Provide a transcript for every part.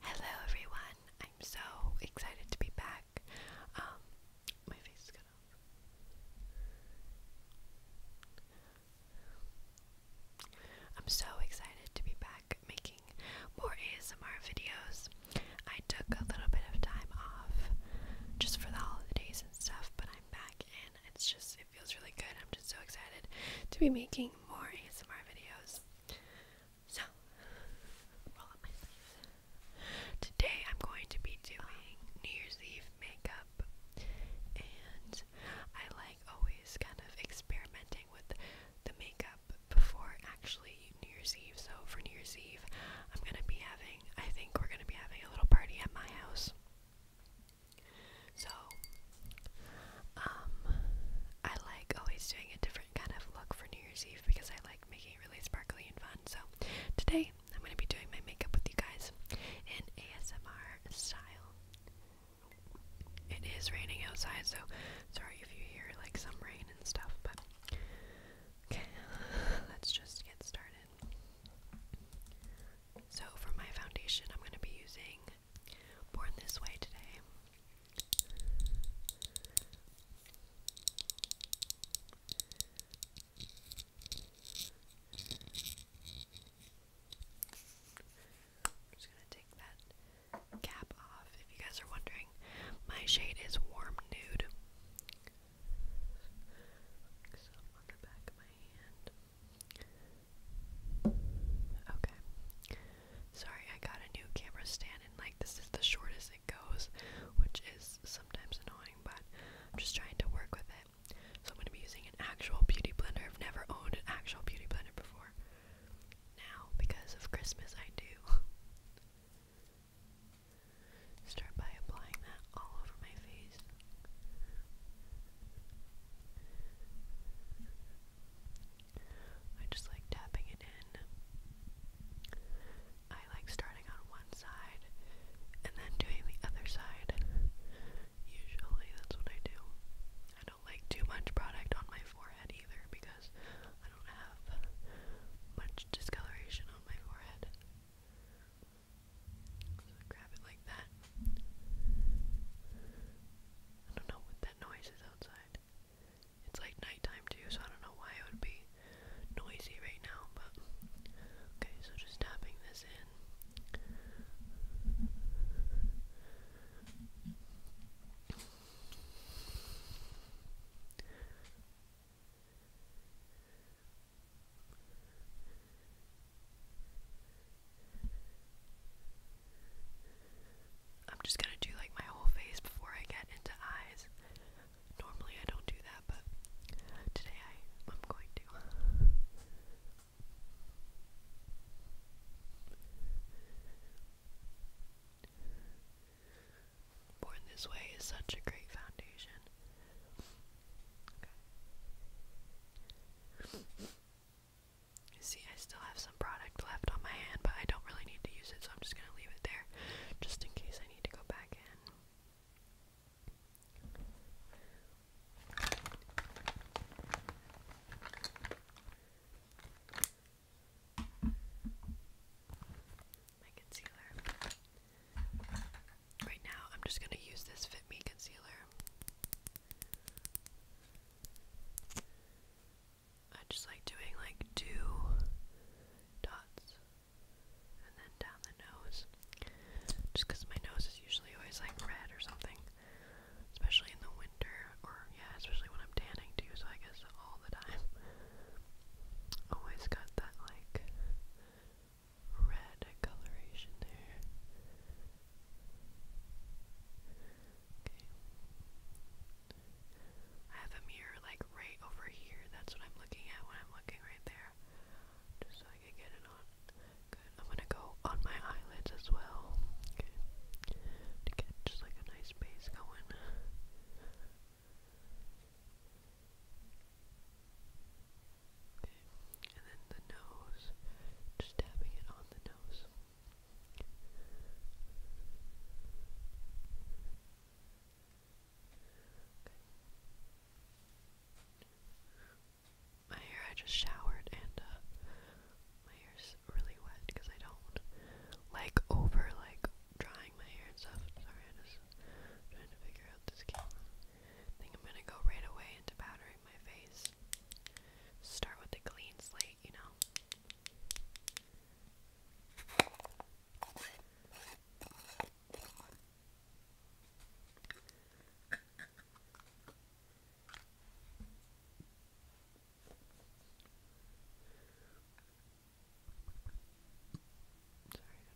Hello everyone, I'm so excited to be back. Um, my face is cut off. I'm so excited to be back making more ASMR videos. I took a little bit of time off just for the holidays and stuff, but I'm back and it's just feels really good. I'm just so excited to be making more ASMR videos. So, roll up my sleeves. Today I'm going to be doing New Year's Eve makeup, and I like always kind of experimenting with the makeup before actually New Year's Eve. So for New Year's Eve, I'm gonna be having. I think we're gonna be having a little party at my house. So, um, I like always doing a different kind of look for New Year's Eve because I like making it really sparkly and fun. So, today I'm going to be doing my makeup with you guys in ASMR style. It is raining outside, so sorry if you hear like some rain and stuff, but okay, let's just get started. So, for my foundation, I'm going to be using Born this way today. just gonna take that cap off. If you guys are wondering, my shade is warm nude. Okay. Sorry, I got a new camera stand and like this is the shortest it goes, which is sometimes annoying, but I'm just trying to work with it. So I'm going to be using an actual beauty blender. I've never owned an actual beauty blender before. Now, because of Christmas, I do. Start by applying that all over my face. I just like tapping it in. I like starting on one side and then doing the other side. Usually that's what I do. I don't like too much product on my forehead either because I don't have much discoloration on my forehead. grab it like that I don't know what that noise is outside. It's like nighttime too, so I don't know why it would be noisy right now, but okay, so just tapping this in. I'm just gonna do like my whole face before I get into eyes. Normally I don't do that, but today I, am going to. Born This Way is such a great foundation. Okay. See, I still have some product left on my hand, but I don't really need to use it, so I'm just gonna leave it there just in case I need to go back in. My concealer. Right now, I'm just going to use this Fit Me concealer I just like doing like two dots and then down the nose. Just because my nose is usually always like red or something. Especially in the winter, or yeah, especially when I'm tanning too, so I guess all the time. Always got that like red coloration there. I have a mirror like right over here. That's what I'm looking at when I'm looking right there. Just so I can get it on. I'm gonna go on my eyelids as well. To get just like a nice base going. And then the nose, just tapping it on the nose. My hair, I just showered and uh, my hair's really wet because I don't like over like drying my hair and stuff. Sorry, I just trying to figure out this camera. I think I'm gonna go right away into powder my face. Start with a clean slate, you know. Sorry,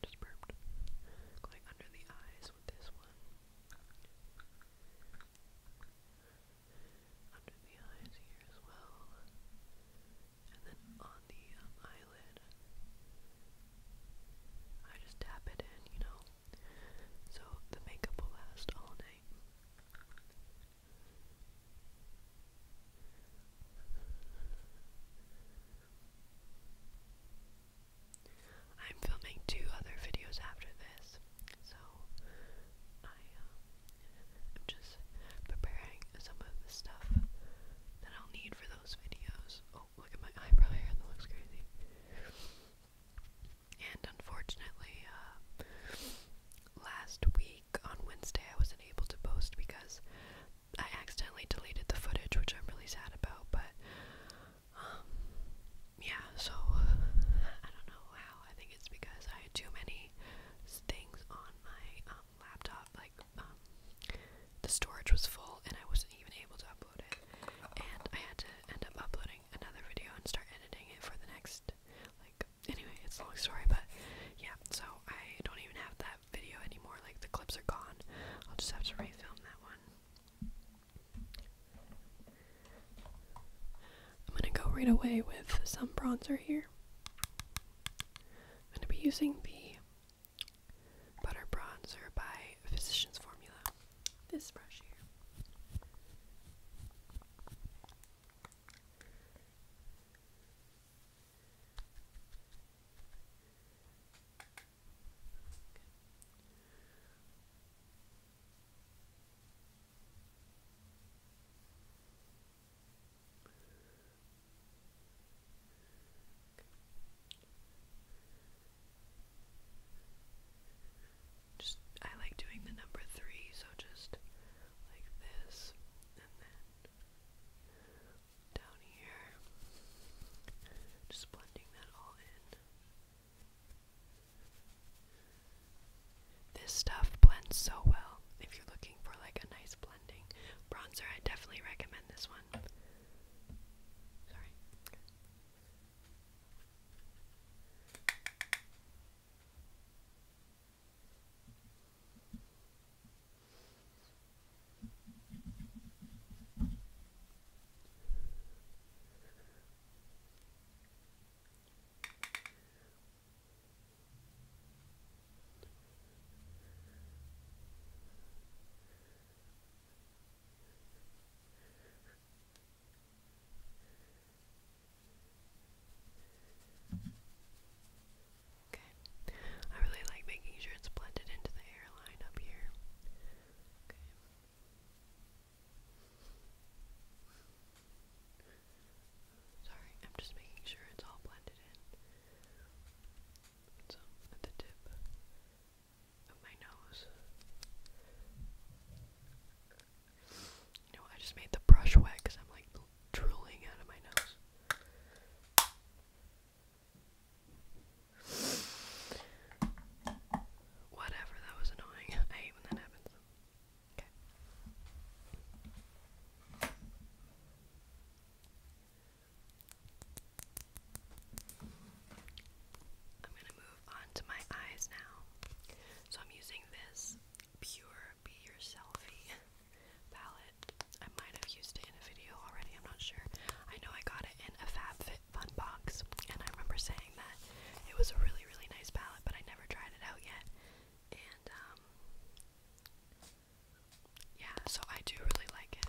I just burped. Going under the eyes sense this one. Under the eyes here as well. And then on the um, eyelid, I just tap it in, you know, so the makeup will last all night. I'm filming two other videos after this, so I am um, just preparing some of the stuff that I'll need for those videos. Oh, look at my eyebrow hair, that looks crazy. And unfortunately, uh, last week on Wednesday, I wasn't able to post because I accidentally deleted the footage, which I'm really sad about, but um, yeah, so I don't know how. I think it's because I had too many things on my um, laptop. Like, um, the storage was full and I wasn't even able to upload it. And I had to end up uploading another video and start editing it for the next, like, anyway, it's a long story, but yeah, so I don't even have that video anymore. Like, the clips are gone. I'll just have to refilm that one. I'm going to go right away with some bronzer here. I'm going to be using the Butter Bronzer by Physicians Formula. This brush here. Just I like doing the number three, so just like this, and then down here, just blending that all in. This stuff blends so well. If you're looking for like a nice blending bronzer, I definitely recommend this one. Sorry. Okay. I really like making sure it's blended into the hairline up here. Sorry, I'm just making sure it's all blended in. So, at the tip of my nose. You know, I just made the brush wet because I'm like drooling out of my nose. Whatever, that was annoying. I hate when that happens. Okay. I'm going to move on to my eyes now. So I'm using this Pure Be Your Selfie palette. I might have used it in a video already, I'm not sure. I know I got it in a FabFitFun Chocolate Fun Box, and I remember saying that it was a really, really nice palette, but I never tried it out yet. And, um, yeah, so I do really like it.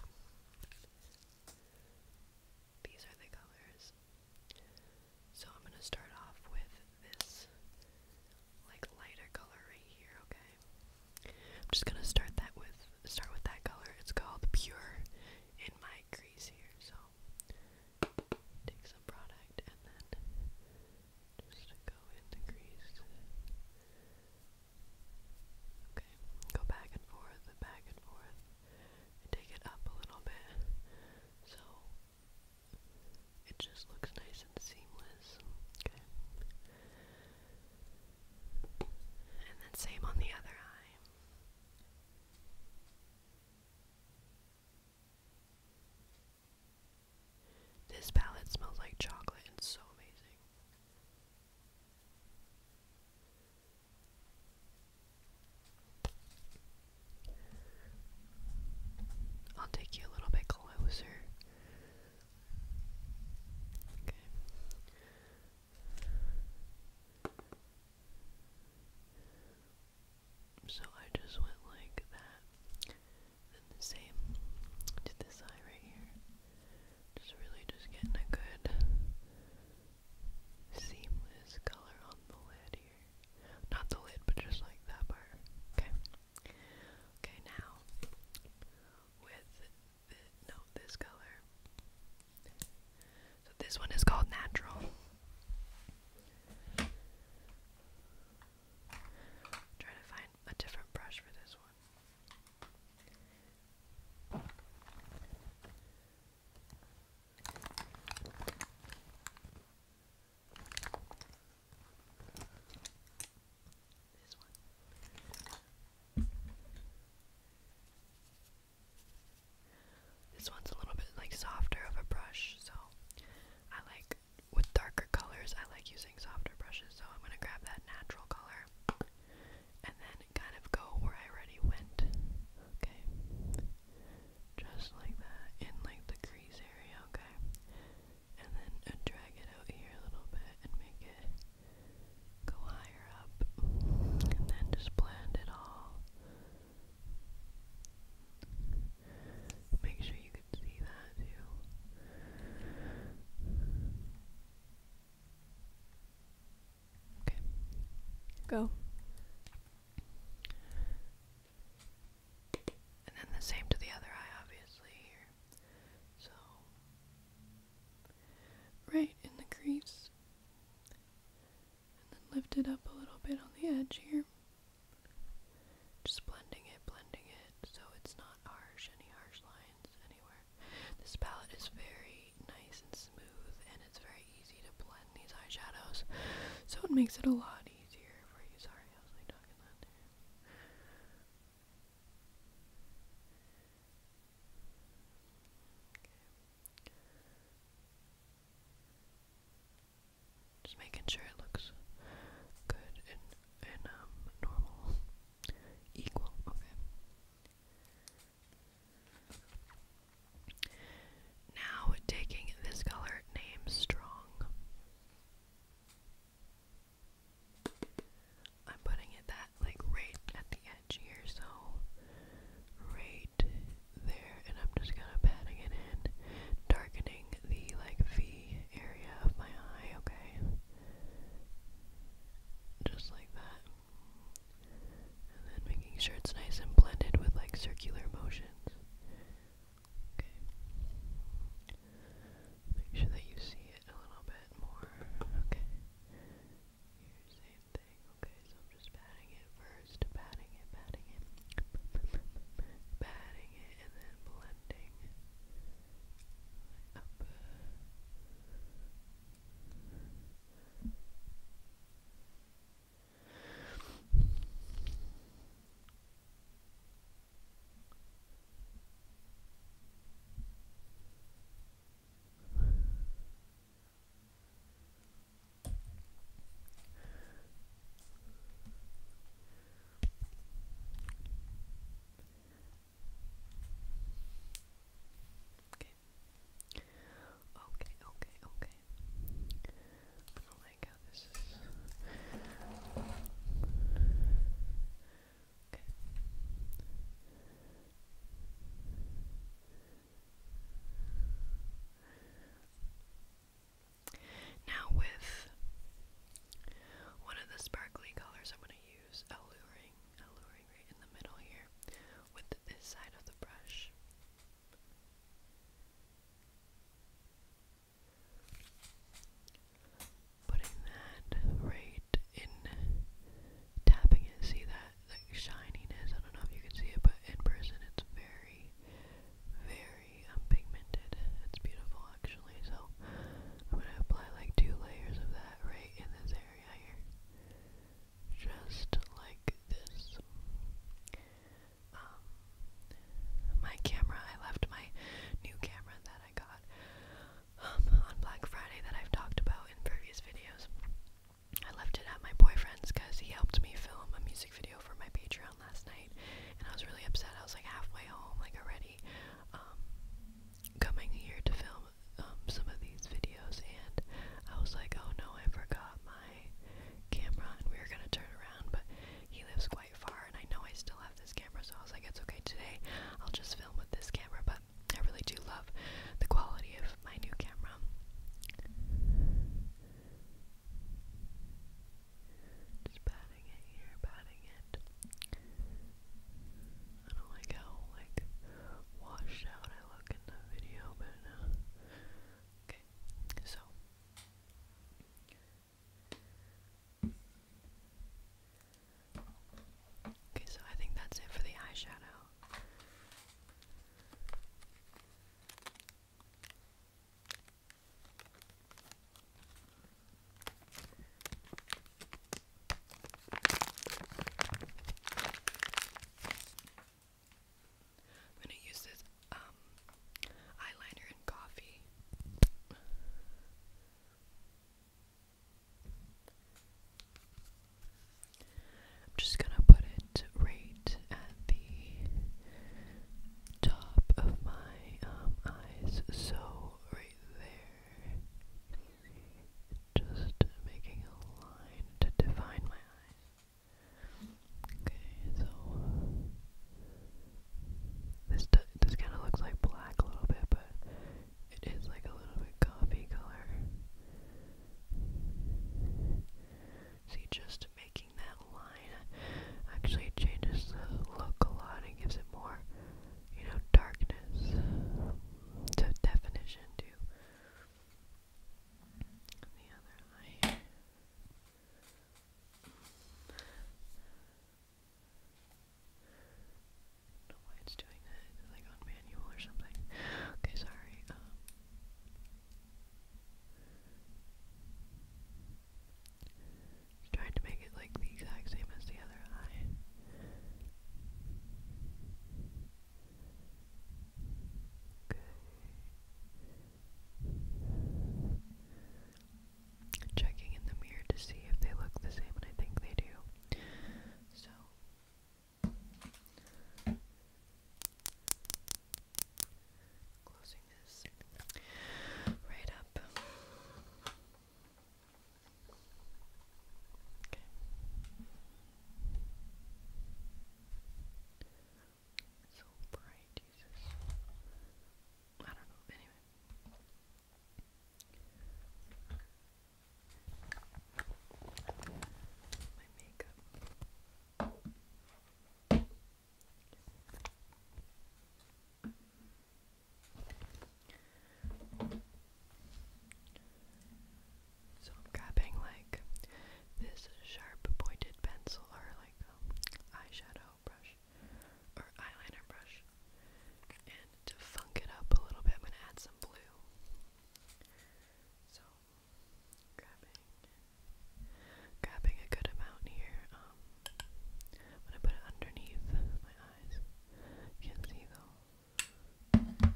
These are the colors. So I'm gonna start off with this, like, lighter color right here, okay? I'm just gonna start that with start with that color. It's called Pure in my crease here. So take some product and then just go in the crease. Okay, go back and forth, back and forth, and take it up a little bit. So it just looks nice and seamless. Okay. And then same on the other eye. This palette smells like chocolate and so amazing. I'll take you a little bit closer. Okay. So I just went like that. Then the same to this eye right here. Just really just getting a good seamless color on the lid here. Not the lid, but just like that part. Okay. Okay, now with no, this color. So this one is called natural. Try to find a different brush for this one. This one. This one's a little bit like softer of a brush, so I like with darker colors, I like using softer brushes, so I'm gonna grab that natural color and then kind of go where I already went. Okay. Just like that, in like the crease area, okay? And then uh, drag it out here a little bit and make it go higher up and then just blend it all. Make sure you can see that too. Okay, go. And then the same to the other eye, obviously, here. So, right in the crease. And then lift it up a little bit on the edge here. Just blending it, blending it, so it's not harsh, any harsh lines anywhere. This palette is very nice and smooth, and it's very easy to blend these eyeshadows, so it makes it a lot easier for you. Sorry, I was like talking that just making sure it looks good and and um normal, equal. Okay. Now taking this color name strong. I'm putting it that like right at the edge here, so right there, and I'm just gonna patting it in, darkening the like V area of my eye, okay? Just like that. And then making sure it's nice and blended with like circular motions. Okay. Make sure that you see it a little bit more. Okay. same thing. Okay, so I'm just patting it first, patting it, patting it, patting it, and then blending Okay. Okay, okay, I don't like how this is. Now with one of the sparkly colors, I'm going to use alluring, alluring right in the middle here, with this side of the brush putting that right in, tapping it, see that, that shininess, I don't know if you can see it, but in person it's very, very unpigmented, um, it's beautiful actually, so I'm going to apply like two layers of that right in this area here, just like this. Um, my camera, I left my new camera that I got um, on Black Friday that I've talked about in previous videos. I left it at my boyfriend's because he helped me film a music video for my Patreon last night, and I was really upset. I was like halfway home, like already um, coming here to film um, some of these videos, and I was like, oh no, I forgot my camera, and we were gonna turn around, but he lives quite far, and I know I still have this camera, so I was like, it's okay today. I'll just film with this camera, but I really do love the quality of my new camera. Just patting it here, patting it. I don't like how like washed out I look in the video, but uh, okay. So Okay, so I think that's it for the eyeshadow. I'm going to use this um, eyeliner and coffee. I'm just gonna put it right at the top of my um, eyes, so right there. Just making a line to define my eyes. Okay, so this this kind of looks like black a little bit, but it is like a little bit coffee color. See, just making that line actually changes the look a lot and gives it more, you know, darkness to definition too. the other eye not why it's doing it like on manual or something? Okay, sorry. Um. trying to make it like the exact same as the other eye. Okay checking in the mirror to see if they look the same, and I think they do. So. Closing this right up. Okay. So bright, Jesus. I don't know. Anyway. My makeup. So I'm grabbing like this sharp pointed pencil or like um, eyeshadow brow brush or eyeliner brush. And to funk it up a little bit, I'm going to add some blue. So, grabbing, a good amount here. Um, I'm going to put it underneath my eyes. You can see though. Okay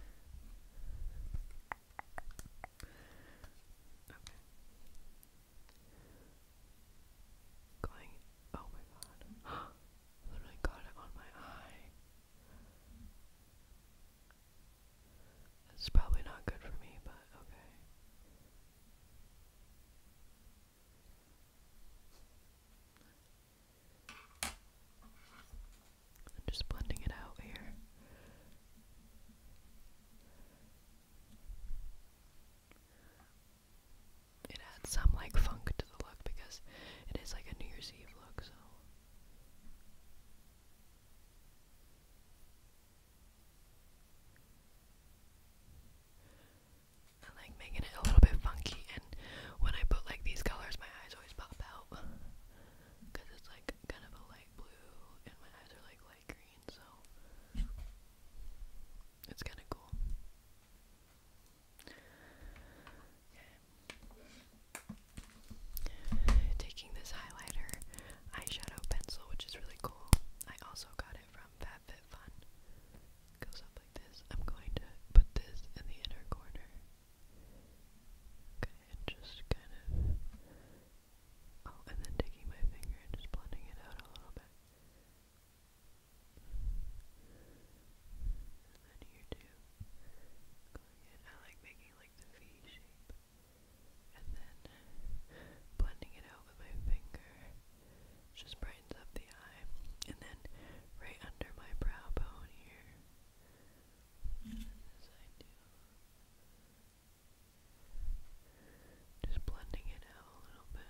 going. Oh my god. literally got it on my eye. It's probably not good for me, but okay. I'm just blending it out here it adds some like funk to the look because it is like a New Year's Eve look, so I like making it a little bit funky and when I put like these colors my eyes always pop out because it's like kind of a light blue and my eyes are like light green so it's kind of cool Taking this highlighter eyeshadow pencil, which is really cool. I also got it from FabFitFun. It goes up like this. I'm going to put this in the inner corner. Okay, and just kind of. Oh, and then taking my finger and just blending it out a little bit. And then here too. Going in, I like making like the V shape. And then blending it out with my finger. Just brightens up the eye. And then right under my brow bone here. this I do. Just blending it out a little bit.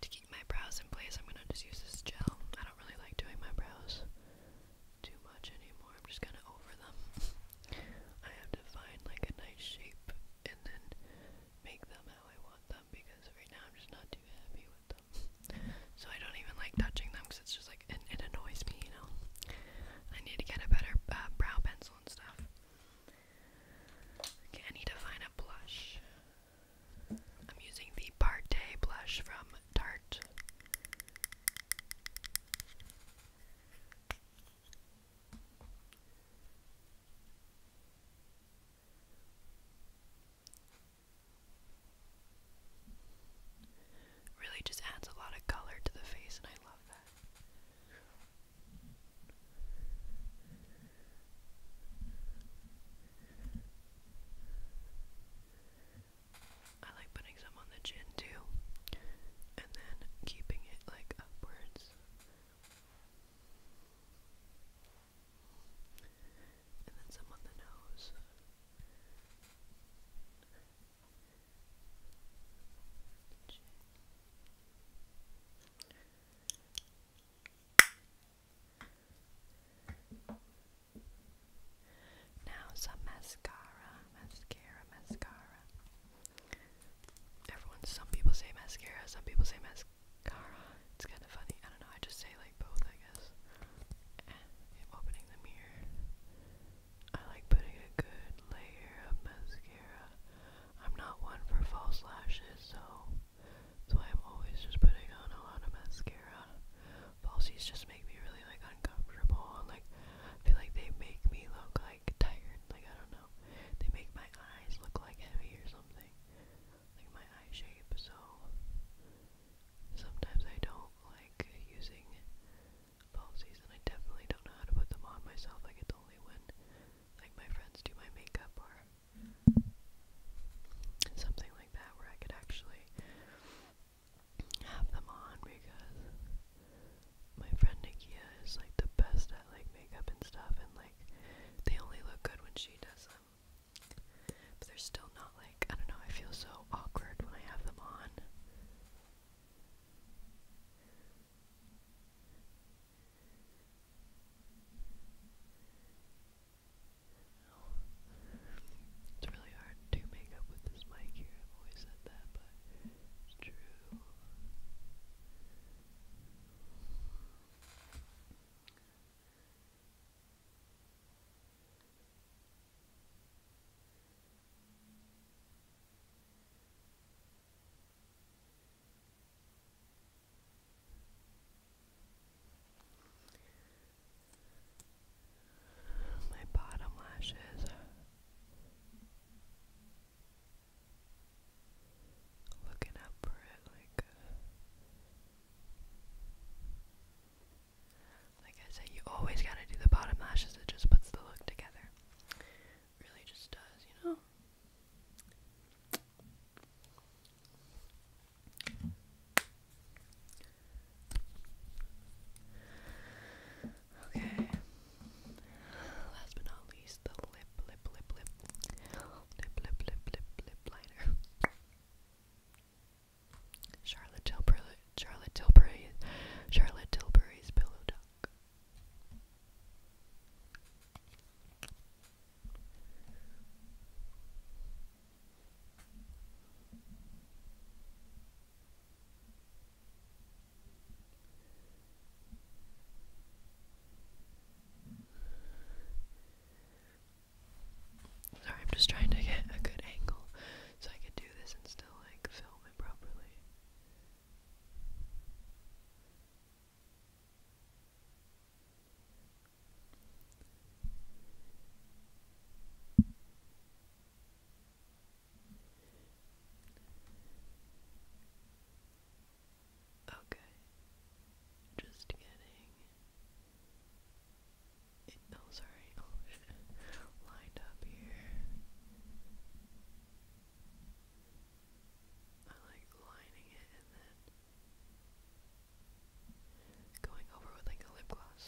To keep my brows in place, I'm gonna just use this gel. I don't really like doing my brows too much anymore. I'm just kind of over them. I have to find like a nice shape and then make them how I want them because right now I'm just not too happy with them. So I don't even like touching them because it's just like it, annoys me, you know. I need to get a better uh, brow pencil and stuff. I need to find a blush. I'm using the Partey blush from Tarte. Really just adds a lot of color to the face, and I love that. I like putting some on the chin too, and then keeping it like upwards. And then some on the nose. Chin. Now some mascara, mascara, mascara. Everyone, some people say mascara, some people say mascara. It's kind of funny. I don't know. I just say like both, I guess. And opening the mirror, I like putting a good layer of mascara I'm not one for false lashes, so that's why I'm always just putting on a lot of mascara. Falsies just make me really like uncomfortable and like I feel like they make me look like tired. Like I don't know. They make my eyes look like heavy or something. Like my eye shape, so sometimes I don't like using falsies and I definitely don't know how to put them on myself. Like it's only when like my friends do my makeup or something like that where I could actually have them on because my friend Nikia is like the best at like makeup and stuff and like they only look good when she does them. But they're still not like I don't know, I feel so awkward when I have them on. Oh. It's really hard to make up with this mic here. I've always said that, but it's true. My bottom lashes. Looking up for it like, uh, like I said, you always gotta do the bottom lashes. It just puts the look together really just does, you know? Okay. Last but not least, the lip, lip, lip, lip, lip, lip, lip, lip, lip liner. Charlotte Tilbury, Charlotte Tilbury, Charlotte Tilbury's pillow talk. Sorry, I'm just trying to get a good angle so I could do this and still like film it properly. Okay, just getting it, oh lined up here. I like lining it and then going over with like a lip gloss.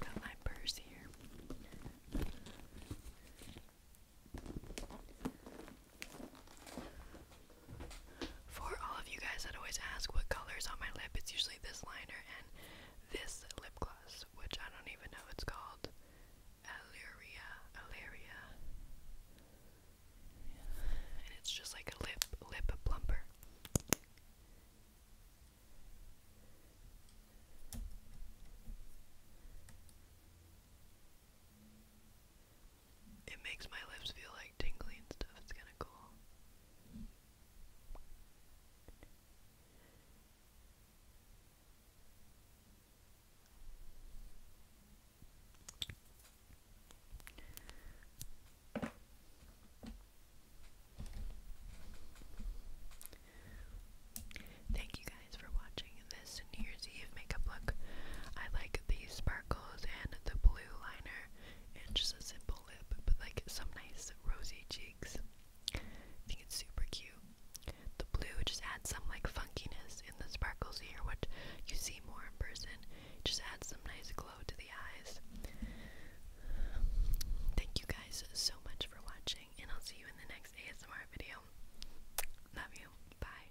Got my purse here. For all of you guys that always ask what color's on my lip, it's usually this liner and this lip gloss, which I don't even know it's called. Alleria, Alleria. And it's just like a lip, lip plumper. It makes my lips feel like tingling and stuff. It's kind of cool. Thank you guys for watching this, and here's Christmas makeup look. I like the sparkles and the blue liner and just a simple lip, but like some nice rosy cheeks. I think it's super cute. The blue just adds some like funkiness in the sparkles here, what you see more in person. just adds some nice glow to the eyes. Thank you guys so much for watching, and I'll see you in the next ASMR video. Love you. Bye.